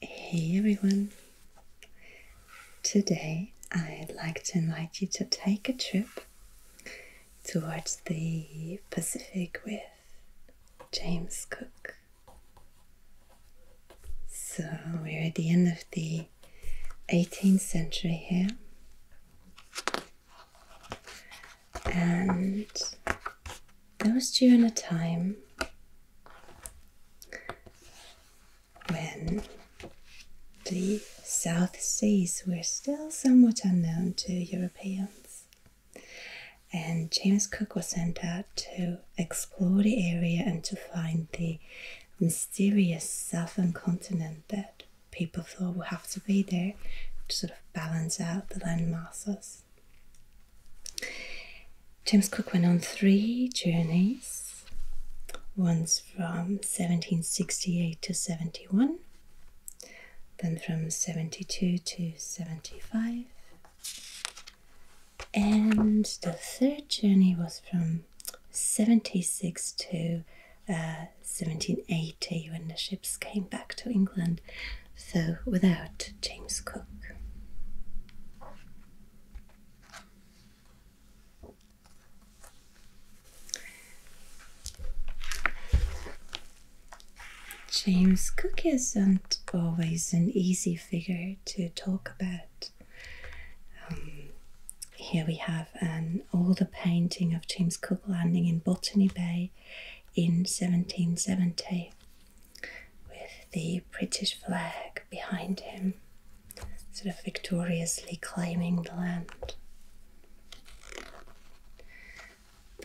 Hey everyone! Today I'd like to invite you to take a trip towards the Pacific with James Cook. So we're at the end of the 18th century here and there was during a time when the South Seas were still somewhat unknown to Europeans, and James Cook was sent out to explore the area and to find the mysterious southern continent that people thought would have to be there to sort of balance out the land masses. James Cook went on three journeys, once from 1768 to 71, then from 72 to 75, and the third journey was from 76 to 1780 uh, when the ships came back to England so without James Cook. James Cook isn't always an easy figure to talk about. Um, here we have an older painting of James Cook landing in Botany Bay in 1770 with the British flag behind him, sort of victoriously claiming the land.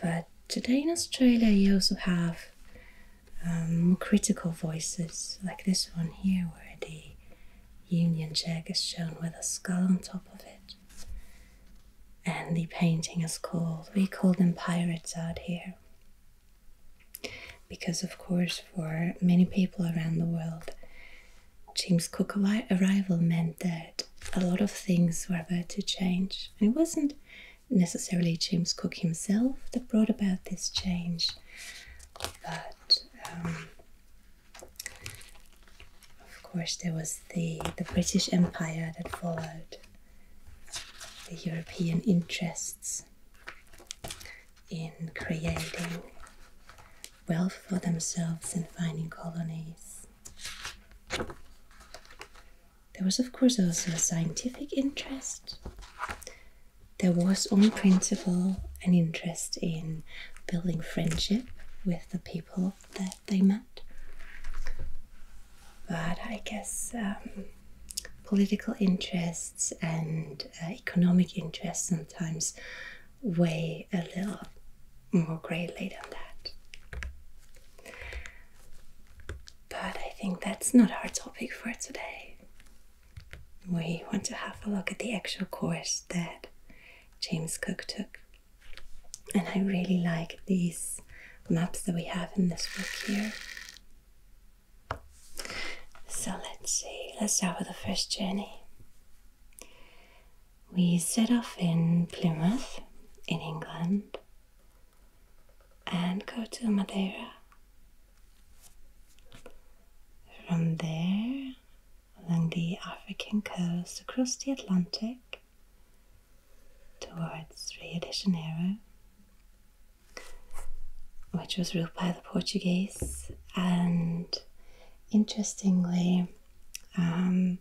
But today in Australia, you also have more um, critical voices like this one here, where the Union Jack is shown with a skull on top of it. And the painting is called, we call them pirates out here. Because, of course, for many people around the world, James Cook's arrival meant that a lot of things were about to change. And it wasn't necessarily James Cook himself that brought about this change, but um, of course, there was the, the British Empire that followed the European interests in creating wealth for themselves and finding colonies. There was, of course, also a scientific interest. There was, on principle, an interest in building friendship with the people that they met but I guess um, political interests and uh, economic interests sometimes weigh a little more greatly than that. But I think that's not our topic for today. We want to have a look at the actual course that James Cook took. And I really like these maps that we have in this book here. So let's see, let's start with the first journey. We set off in Plymouth, in England, and go to Madeira. From there, along the African coast, across the Atlantic, towards Rio de Janeiro, which was ruled by the Portuguese. And interestingly, um,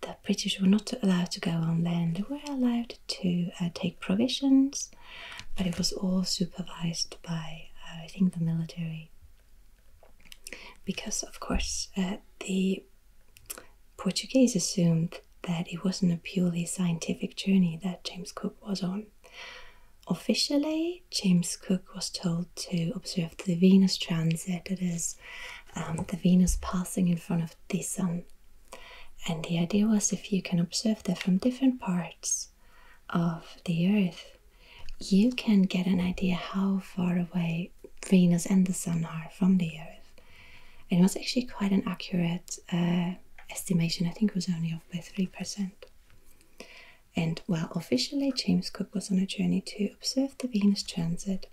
the British were not allowed to go on land, they were allowed to uh, take provisions, but it was all supervised by, uh, I think, the military. Because, of course, uh, the Portuguese assumed that it wasn't a purely scientific journey that James Cook was on. Officially, James Cook was told to observe the Venus transit, that is, um, the Venus passing in front of the Sun. And the idea was if you can observe that from different parts of the Earth, you can get an idea how far away Venus and the Sun are from the Earth and it was actually quite an accurate uh, estimation. I think it was only off by three percent. And well, officially, James Cook was on a journey to observe the Venus transit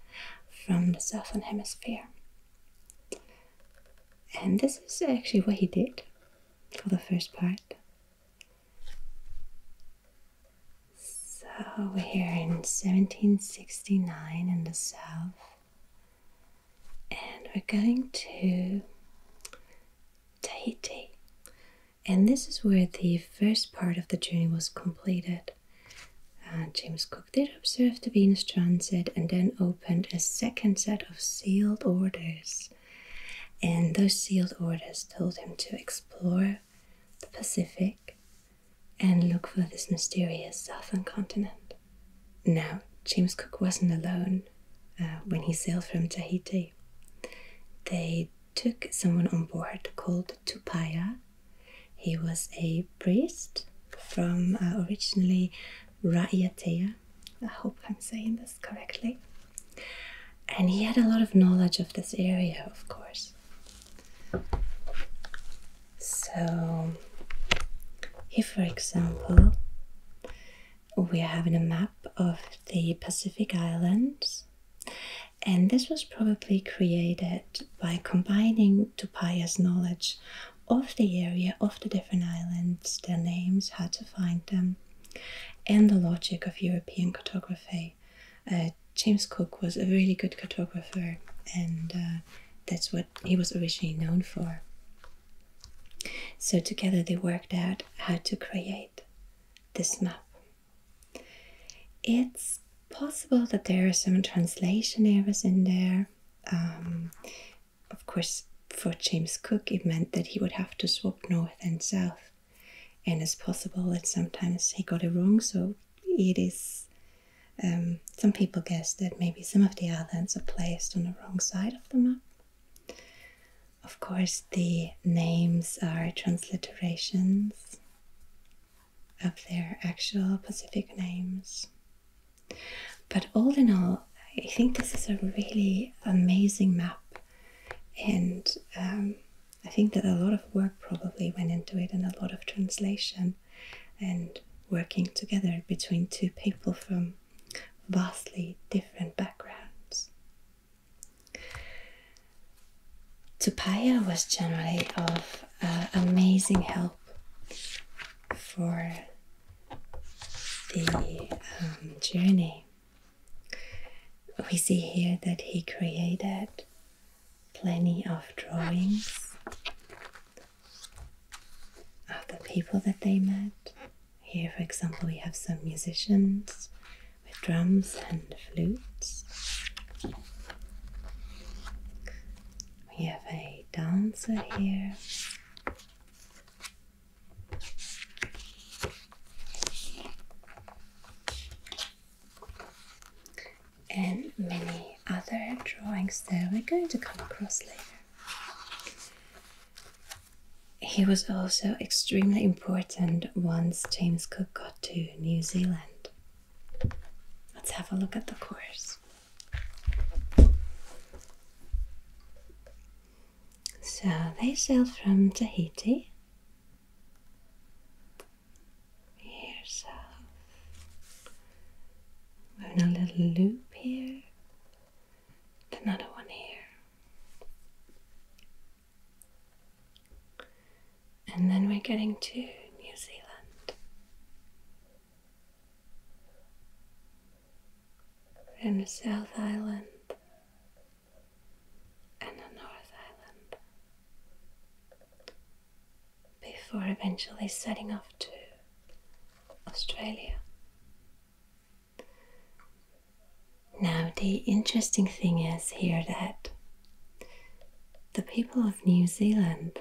from the southern hemisphere. And this is actually what he did for the first part. So we're here in 1769 in the south, and we're going to Tahiti. And this is where the first part of the journey was completed. Uh, James Cook did observe the Venus transit and then opened a second set of sealed orders. And those sealed orders told him to explore the Pacific and look for this mysterious southern continent. Now, James Cook wasn't alone uh, when he sailed from Tahiti. They took someone on board called Tupaya. He was a priest from uh, originally Raiatea. I hope I'm saying this correctly. And he had a lot of knowledge of this area, of course. So, he, for example, we are having a map of the Pacific Islands, and this was probably created by combining Tupaya's knowledge of the area, of the different islands, their names, how to find them, and the logic of European cartography. Uh, James Cook was a really good cartographer, and uh, that's what he was originally known for. So together they worked out how to create this map. It's possible that there are some translation errors in there. Um, of course, for James Cook, it meant that he would have to swap north and south. And it's possible that sometimes he got it wrong, so it is. Um, some people guess that maybe some of the islands are placed on the wrong side side of Of course, the names are transliterations of their actual Pacific names. But all in all, I think this is a really amazing map, and um, I think that a lot of work probably went into it, and a lot of translation and working together between two people from vastly different backgrounds. Topaya was generally of uh, amazing help for the um, journey. We see here that he created plenty of drawings the people that they met. Here, for example, we have some musicians with drums and flutes. We have a dancer here. And many other drawings that we're going to come across later. He was also extremely important once James Cook got to New Zealand. Let's have a look at the course. So they sailed from Tahiti. Here, so we a little loop here and another one here. And then we're getting to New Zealand. And the South Island and the North Island before eventually setting off to Australia. Now, the interesting thing is here that the people of New Zealand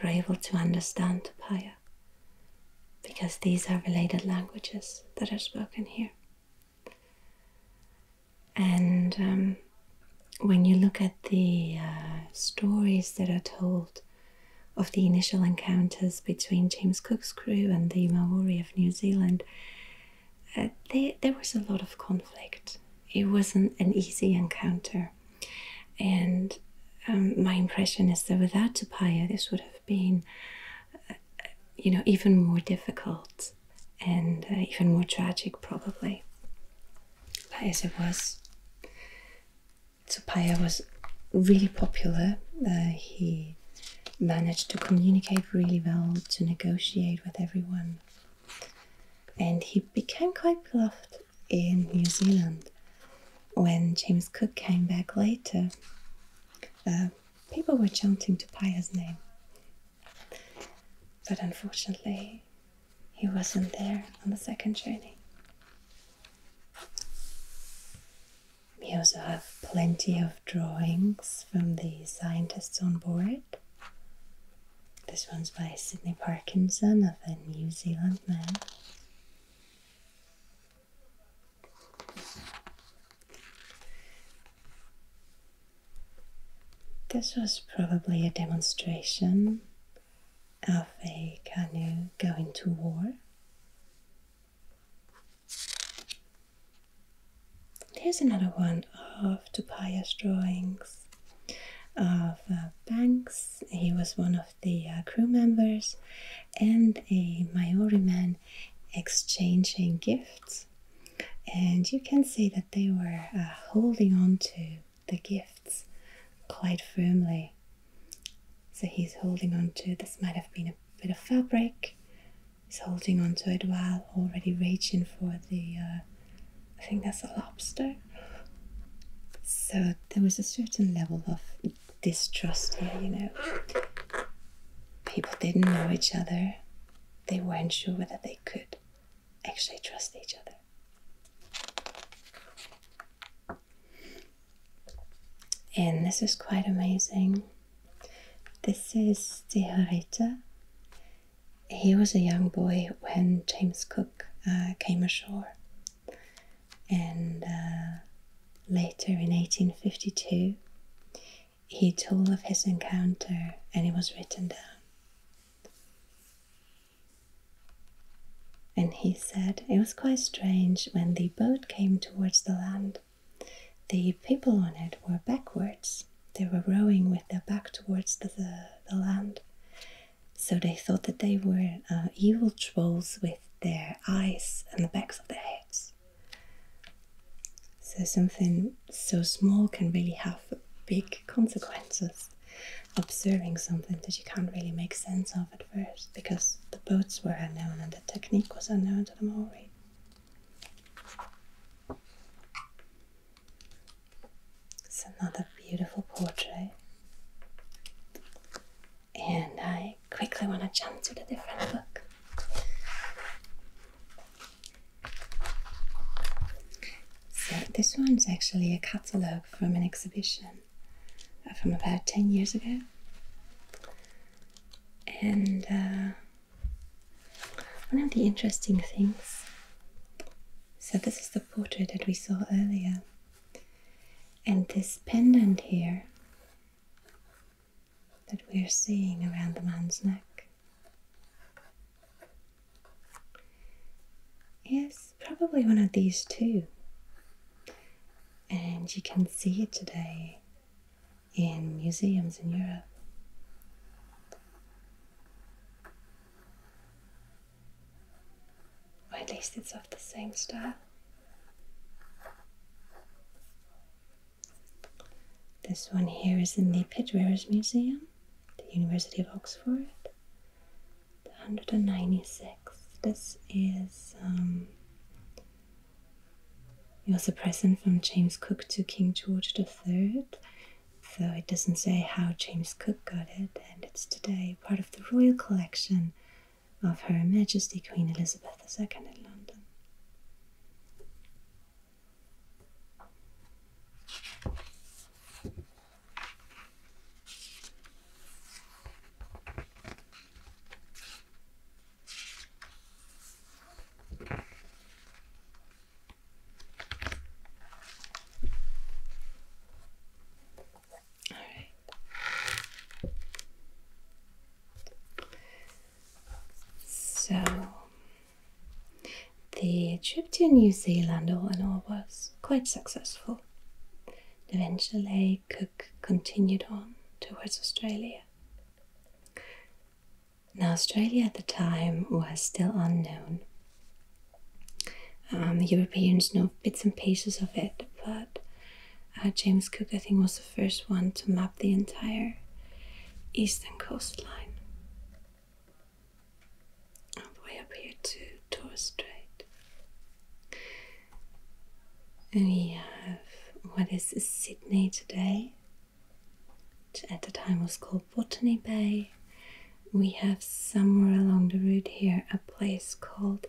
were able to understand Tapaya because these are related languages that are spoken here. And um, when you look at the uh, stories that are told of the initial encounters between James Cook's crew and the Maori of New Zealand, uh, there was a lot of conflict. It wasn't an easy encounter. And um, my impression is that without Tapaya, this would have been, uh, you know, even more difficult and uh, even more tragic, probably. But as it was, Tsupaya was really popular. Uh, he managed to communicate really well, to negotiate with everyone. And he became quite beloved in New Zealand. When James Cook came back later, uh, people were chanting Tupaya's name. But unfortunately, he wasn't there on the second journey. We also have plenty of drawings from the scientists on board. This one's by Sydney Parkinson of a New Zealand man. This was probably a demonstration of a canoe going to war. Here's another one of Tobias' drawings of uh, Banks. He was one of the uh, crew members and a Maori man exchanging gifts. And you can see that they were uh, holding on to the gifts quite firmly. So he's holding on to this might have been a bit of fabric. is holding onto it while already reaching for the, uh, I think that's a lobster. So there was a certain level of distrust here, you know. People didn't know each other, they weren't sure whether they could actually trust each other. And this is quite amazing. This is De He was a young boy when James Cook uh, came ashore. And uh, later in 1852, he told of his encounter and it was written down. And he said it was quite strange when the boat came towards the land. The people on it were backwards, they were rowing with their back towards the, the, land. So they thought that they were uh, evil trolls with their eyes and the backs of their heads. So something so small can really have big consequences. Observing something that you can't really make sense of at first because the boats were unknown and the technique was unknown to them already. It's another beautiful portrait. And I quickly want to jump to the different book. So, this one's actually a catalogue from an exhibition uh, from about 10 years ago and uh, one of the interesting things so this is the portrait that we saw earlier and this pendant here that we're seeing around the man's neck is probably one of these two and you can see it today in museums in Europe. Or at least it's of the same style. This one here is in the Pitt-Rivers Museum, the University of Oxford, the 196. This is um, it was a present from James Cook to King George III, though it doesn't say how James Cook got it, and it's today part of the royal collection of Her Majesty Queen Elizabeth II in London. So the trip to New Zealand all in all was quite successful. Eventually, Cook continued on towards Australia. Now, Australia at the time was still unknown. Um, Europeans know bits and pieces of it, but uh, James Cook, I think, was the first one to map the entire eastern coastline. All the way up here to Torres Strait. We have what is Sydney today, which at the time was called Botany Bay. We have somewhere along the route here a place called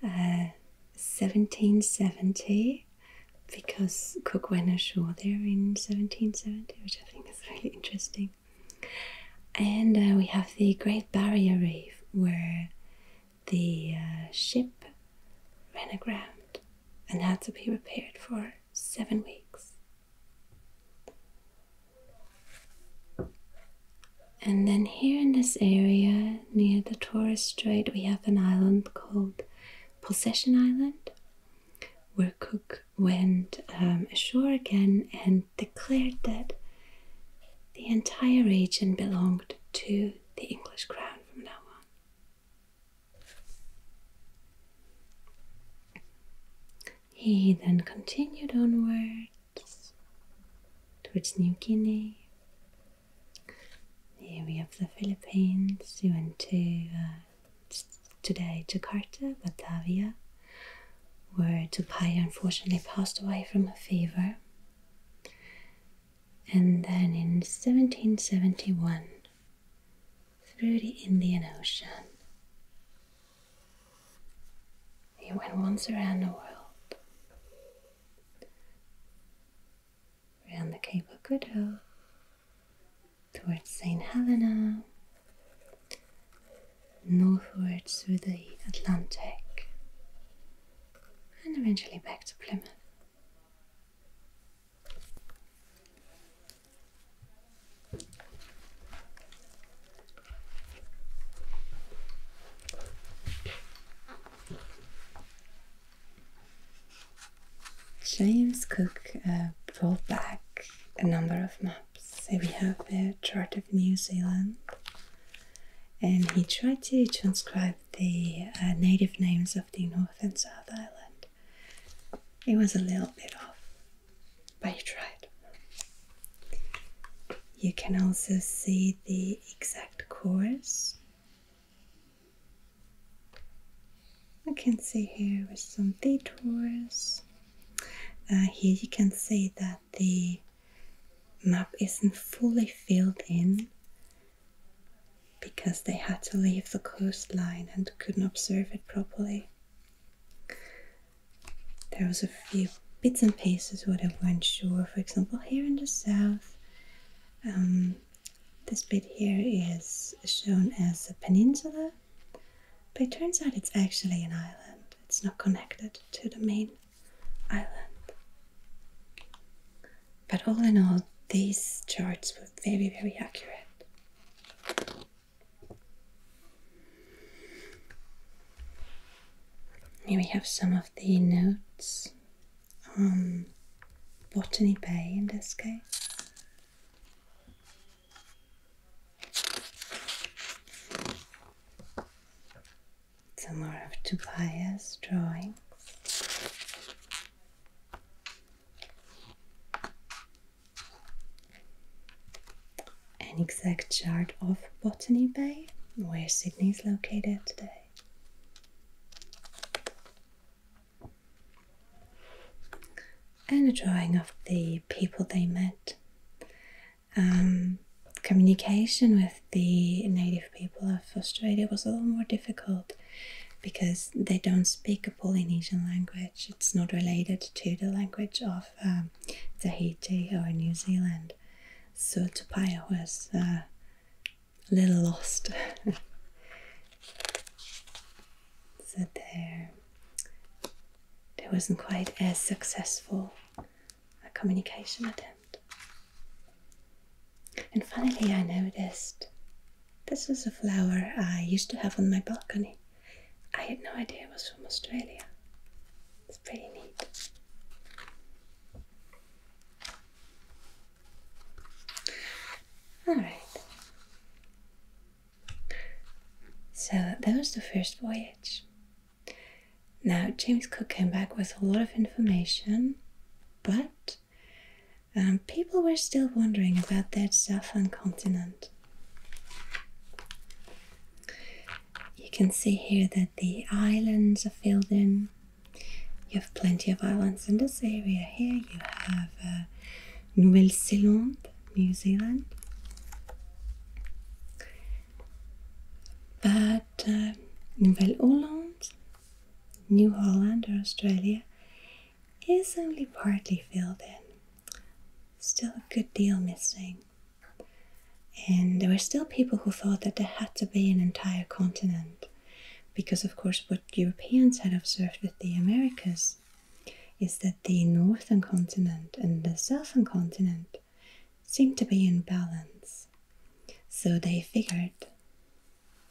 1770 uh, because Cook went ashore there in 1770, which I think is really interesting. And uh, we have the Great Barrier Reef, where the uh, ship ran aground and had to be repaired for seven weeks. And then here in this area near the Torres Strait, we have an island called Possession Island, where Cook went um, ashore again and declared that the entire region belonged to the English crown from now on. He then continued onwards towards New Guinea. Here we have the Philippines. He went to uh, today Jakarta, Batavia, where Tupai unfortunately passed away from a fever and then in 1771 through the Indian Ocean. He went once around the world, around the Cape of Good Hope, towards St. Helena, northward through the Atlantic, and eventually back to Plymouth. James Cook uh, brought back a number of maps. we have a chart of New Zealand, and he tried to transcribe the uh, native names of the North and South Island. It was a little bit off, but you tried. You can also see the exact course. I can see here with some detours. Uh, here you can see that the map isn't fully filled in because they had to leave the coastline and couldn't observe it properly. There was a few bits and pieces where they weren't sure. For example, here in the south, um, this bit here is shown as a peninsula, but it turns out it's actually an island. It's not connected to the main island. But all in all, these charts were very, very accurate. Here we have some of the notes on Botany Bay in this case. Some more of Tobias drawings. An exact chart of Botany Bay, where Sydney is located today. And a drawing of the people they met. Um, communication with the native people of Australia was a little more difficult because they don't speak a Polynesian language. It's not related to the language of um, Tahiti or New Zealand. So Tupaya was uh, a little lost. so there, there wasn't quite as successful a communication attempt. And finally, I noticed this was a flower I used to have on my balcony. I had no idea it was from Australia. It's pretty neat. Alright. So that was the first voyage. Now, James Cook came back with a lot of information, but um, people were still wondering about that southern continent. You can see here that the islands are filled in. You have plenty of islands in this area here. You have uh, Nouvelle-Zélande, New Zealand. But uh, nouvelle Orléans. New Holland or Australia is only partly filled in. Still a good deal missing. And there were still people who thought that there had to be an entire continent, because of course, what Europeans had observed with the Americas is that the northern continent and the southern continent seemed to be in balance. So they figured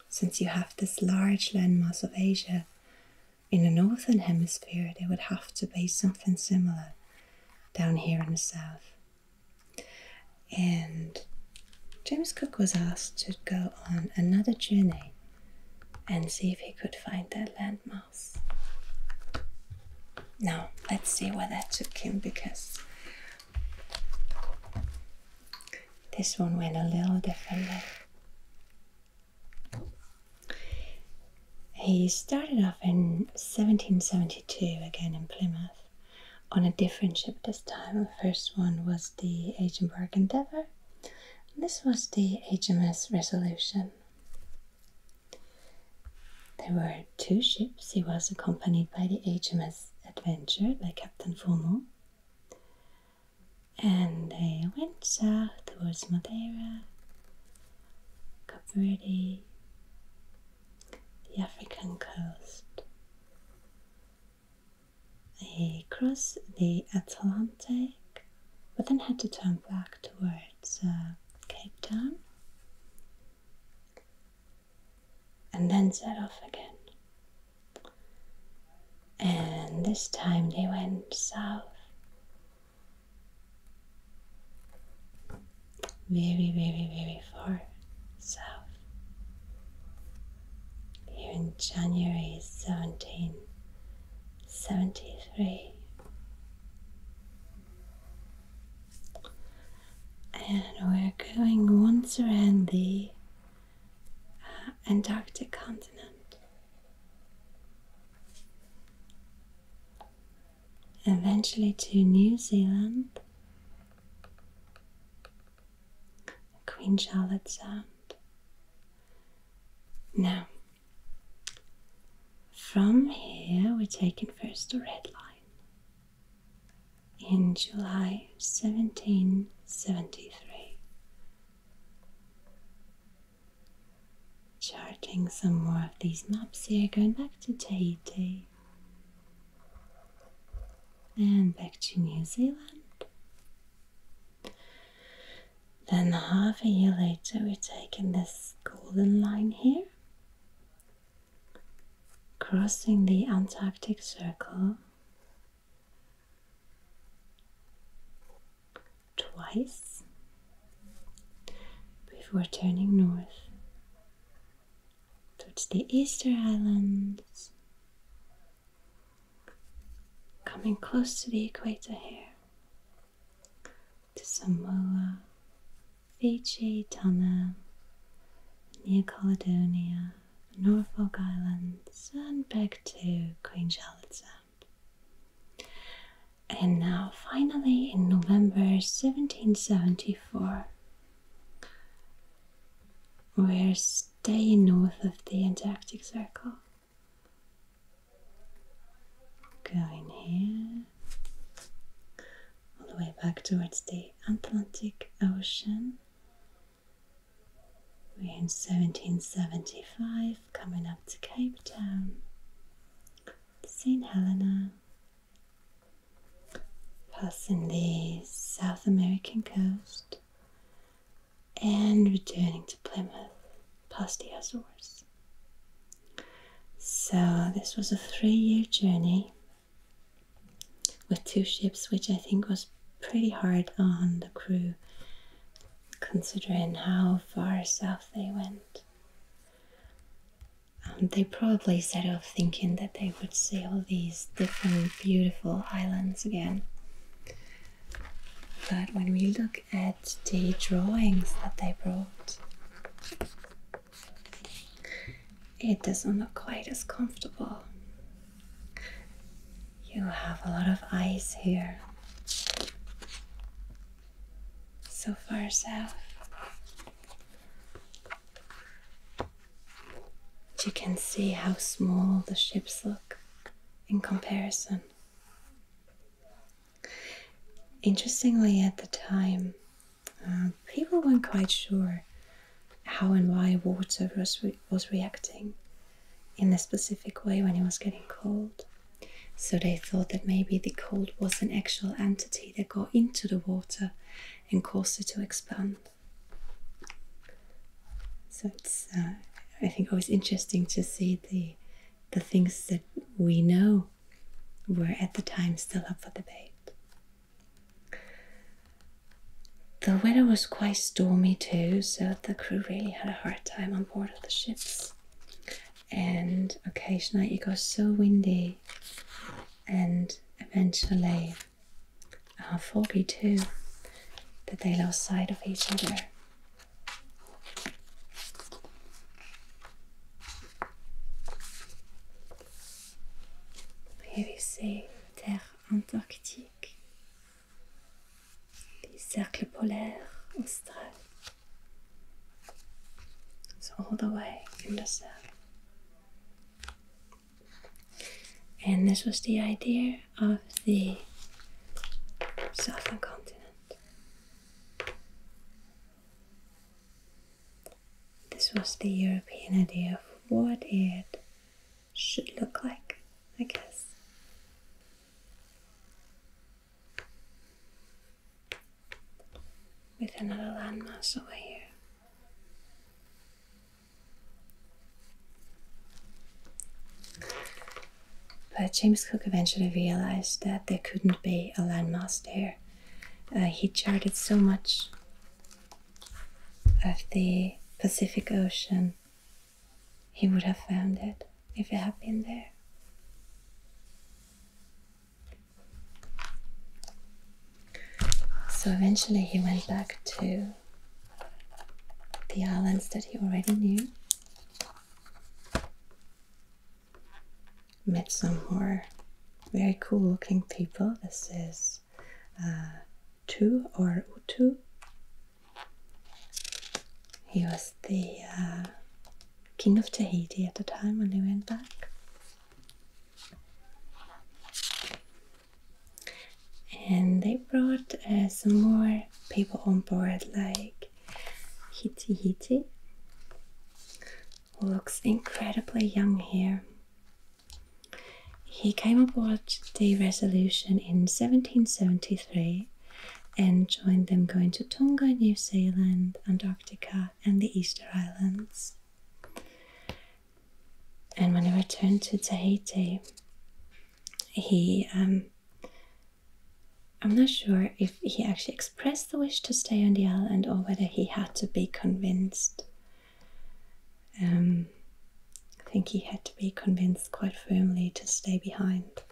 since you have this large landmass of Asia, in the northern hemisphere there would have to be something similar down here in the south. And James Cook was asked to go on another journey and see if he could find that landmass. Now, let's see where that took him because this one went a little differently. He started off in 1772 again in Plymouth on a different ship this time. The first one was the Edinburgh Endeavour, this was the HMS Resolution. There were two ships. He was accompanied by the HMS Adventure by Captain Fillmore and they went south towards Madeira, Cape Verde, the African coast. They crossed the Atlantic, but then had to turn back towards uh, Cape Town and then set off again. And this time they went south. Very, very, very far south. Here in January 1773. And we're going once around the Antarctic continent. Eventually to New Zealand, Queen Charlotte Sound. Now, from here we're taking first the red line in July 1773. Charting some more of these maps here, going back to Tahiti and back to New Zealand. Then, half a year later, we're taking this golden line here, crossing the Antarctic Circle twice before turning north towards the Easter Islands, coming close to the equator here to Samoa, Fiji, Tonga, New Caledonia, Norfolk Islands, and back to Queen Charlotte Sound. And now, finally, in November 1774, we're staying north of the Antarctic Circle. Going here, all the way back towards the Atlantic Ocean we're in 1775, coming up to Cape Town, St. Helena, passing the South American coast, and returning to Plymouth past the Azores. So, this was a three year journey with two ships, which I think was pretty hard on the crew considering how far south they went. Um, they probably set off thinking that they would see all these different beautiful islands again. But when we look at the drawings that they brought, it doesn't look quite as comfortable. You have a lot of ice here. So far south. But you can see how small the ships look in comparison. Interestingly, at the time, uh, people weren't quite sure how and why water was, was reacting in a specific way when it was getting cold. So they thought that maybe the cold was an actual entity that got into the water and caused it to expand. So it's, uh, I think, always interesting to see the the things that we know were at the time still up for debate. The weather was quite stormy too, so the crew really had a hard time on board of the ships. And occasionally it got so windy and eventually uh, foggy too that they lost sight of each other. Here we see Terre Antarctique the cercles polaires austral. So all the way in the south, And this was the idea of the southern continent. This was the European idea of what it should look like, I guess. With another landmass over here. But James Cook eventually realized that there couldn't be a landmass there. Uh, he charted so much of the Pacific Ocean he would have found it if it had been there. So eventually he went back to the islands that he already knew, met some more very cool looking people. This is uh, Tu or Utu he was the uh, king of Tahiti at the time when they went back. And they brought uh, some more people on board, like Hiti Hiti, looks incredibly young here. He came aboard the Resolution in 1773 and joined them going to Tonga, New Zealand, Antarctica, and the Easter Islands. And when he returned to Tahiti, he, um, I'm not sure if he actually expressed the wish to stay on the island or whether he had to be convinced. Um, I think he had to be convinced quite firmly to stay behind.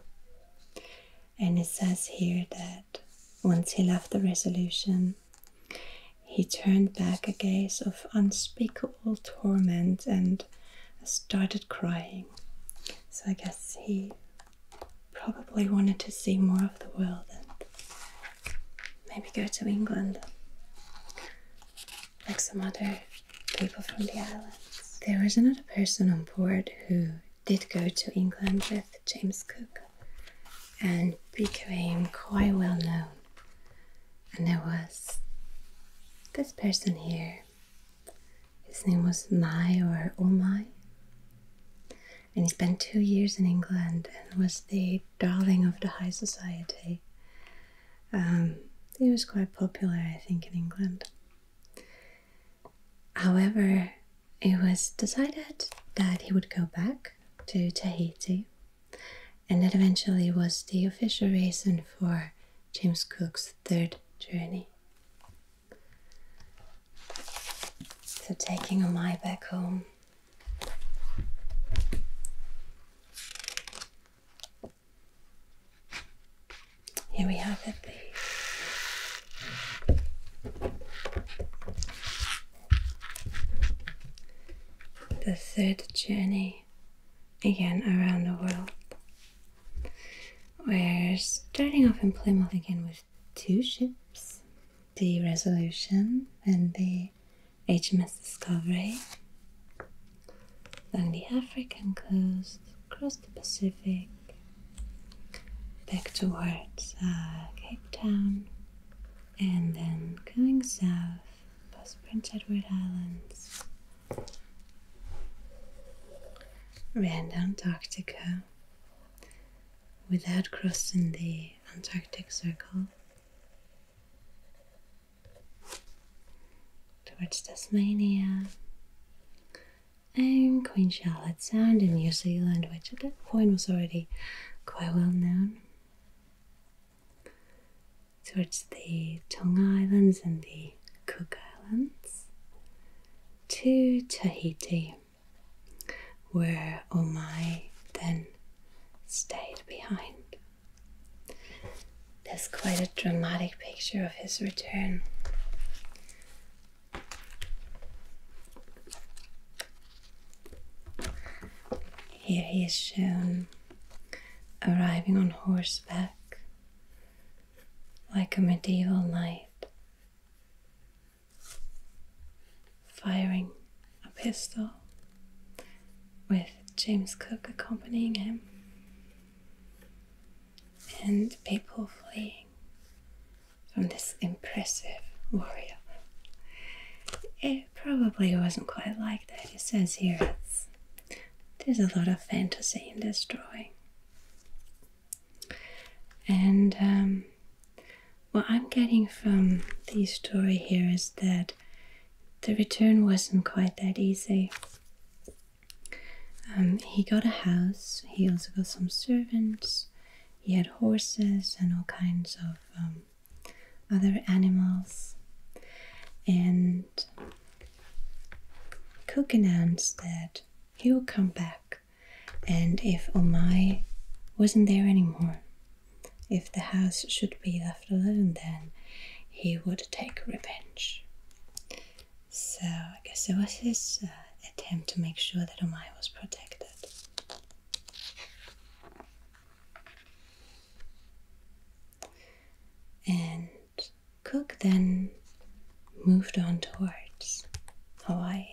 And it says here that once he left the resolution, he turned back a gaze of unspeakable torment and started crying. So I guess he probably wanted to see more of the world and maybe go to England like some other people from the islands. There was another person on board who did go to England with James Cook and became quite well known. And there was this person here. His name was Mai or Omai. And he spent two years in England and was the darling of the high society. Um, he was quite popular, I think, in England. However, it was decided that he would go back to Tahiti, and that eventually was the official reason for James Cook's third journey. So, taking a Omai back home. Here we have it, the the third journey again around the world. We're starting off in Plymouth again with two ships the Resolution and the HMS Discovery then the African coast, across the Pacific, back towards uh, Cape Town, and then going south past Prince Edward Islands, around Antarctica without crossing the Antarctic Circle towards Tasmania and Queen Charlotte Sound in New Zealand, which at that point was already quite well known, towards the Tonga Islands and the Cook Islands, to Tahiti, where Omai then stayed behind. There's quite a dramatic picture of his return. Here he is shown arriving on horseback like a medieval knight, firing a pistol with James Cook accompanying him and people fleeing from this impressive warrior. It probably wasn't quite like that. It says here it's, there's a lot of fantasy in this drawing. And um, what I'm getting from this story here is that the return wasn't quite that easy. Um, he got a house, he also got some servants, he had horses and all kinds of um, other animals. And Cook said he would come back, and if Omai wasn't there anymore, if the house should be left alone, then he would take revenge. So I guess it was his uh, attempt to make sure that Omai was protected. And Cook then moved on towards Hawaii.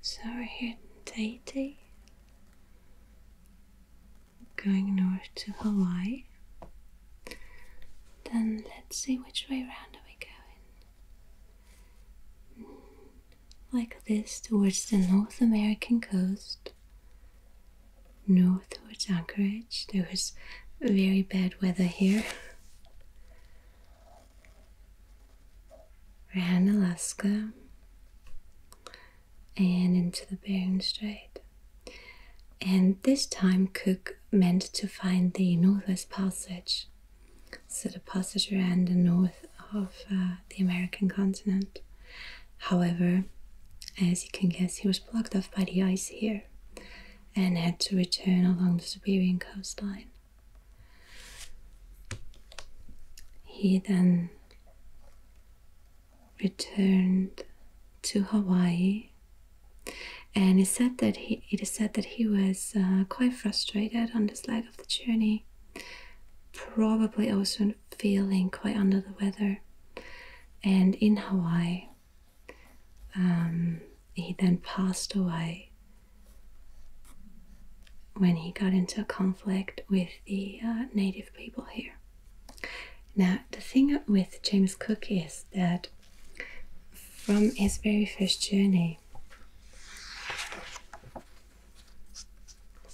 So we're here in going north to Hawaii. Then let's see which way around are we going. Hmm, like this, towards the North American coast, north towards Anchorage. There was very bad weather here. Ran Alaska and into the Bering Strait. And this time Cook meant to find the Northwest Passage, so the passage around the north of uh, the American continent. However, as you can guess, he was blocked off by the ice here and had to return along the Siberian coastline. He then returned to Hawaii, and it said that he it is said that he was uh, quite frustrated on this leg of the journey, probably also feeling quite under the weather. And in Hawaii, um, he then passed away when he got into a conflict with the uh, native people here. Now, the thing with James Cook is that from his very first journey,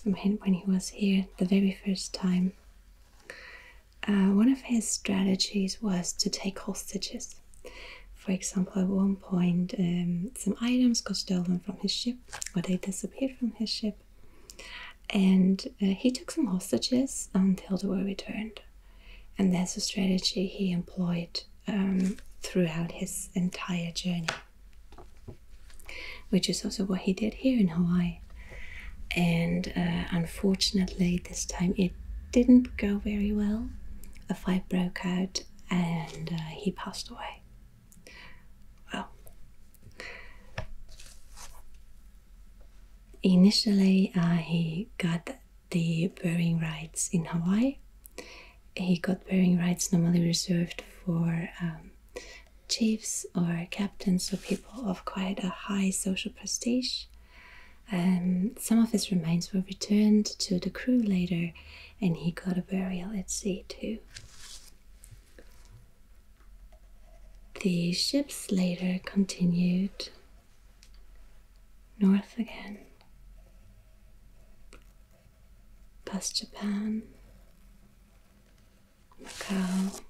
from when he was here the very first time, uh, one of his strategies was to take hostages. For example, at one point, um, some items got stolen from his ship, or they disappeared from his ship, and uh, he took some hostages until they were returned. And that's a strategy he employed um, throughout his entire journey, which is also what he did here in Hawaii. And uh, unfortunately, this time it didn't go very well. A fight broke out and uh, he passed away. Well, initially uh, he got the burying rights in Hawaii. He got burying rights normally reserved for um, chiefs or captains or people of quite a high social prestige. Um, some of his remains were returned to the crew later, and he got a burial at sea too. The ships later continued north again, past Japan, Macau,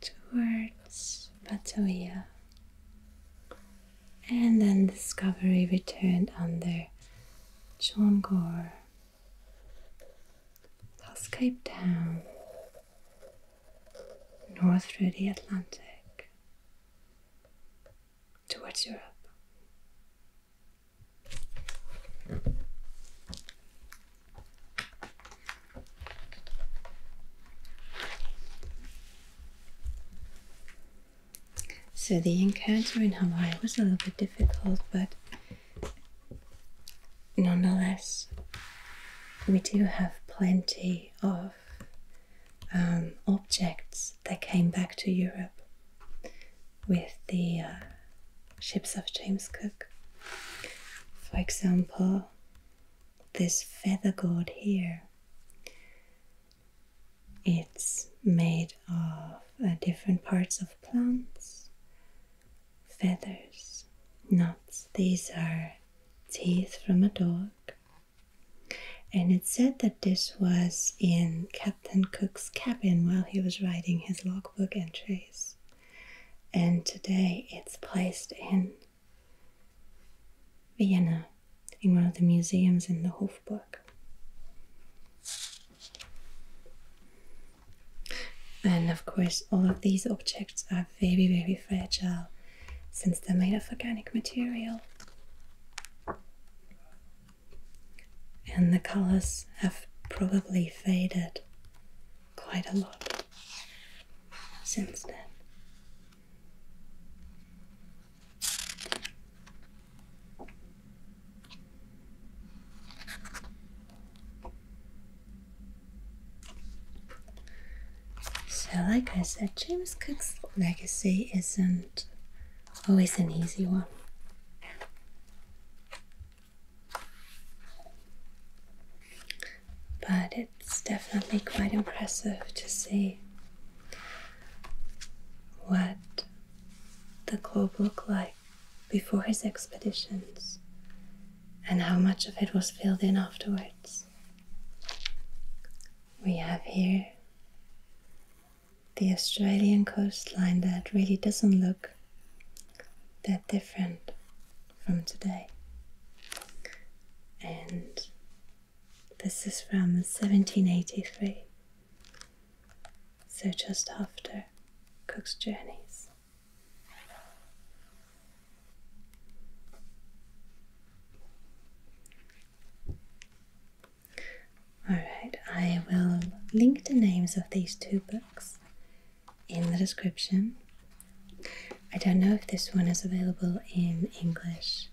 towards Batavia. And then Discovery returned under John Gore. Past Cape Town, north through the Atlantic, towards Europe. So the encounter in Hawaii was a little bit difficult, but nonetheless, we do have plenty of um, objects that came back to Europe with the uh, ships of James Cook. For example, this feather god here it's made of uh, different parts of plants feathers nuts. these are teeth from a dog and it said that this was in captain cook's cabin while he was writing his logbook entries and today it's placed in Vienna in one of the museums in the Hofburg. And of course, all of these objects are very, very fragile since they're made of organic material. And the colors have probably faded quite a lot since then. So, like I said, James Cook's legacy isn't always an easy one but it's definitely quite impressive to see what the globe looked like before his expeditions and how much of it was filled in afterwards. We have here the Australian coastline that really doesn't look that different from today. And this is from 1783, so just after Cook's Journeys. Alright, I will link the names of these two books in the description I don't know if this one is available in English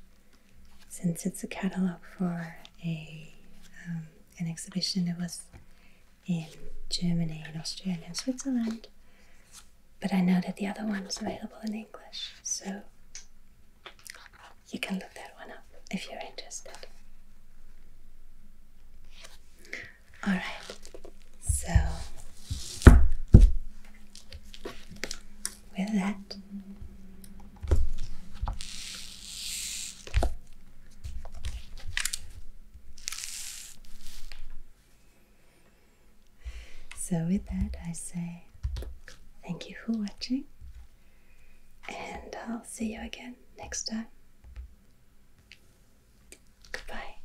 since it's a catalog for a um, an exhibition that was in Germany in Austria and in Switzerland. But I know that the other one is available in English, so you can look that one up if you're interested. Alright, so with that. So, with that, I say thank you for watching, and I'll see you again next time. Goodbye.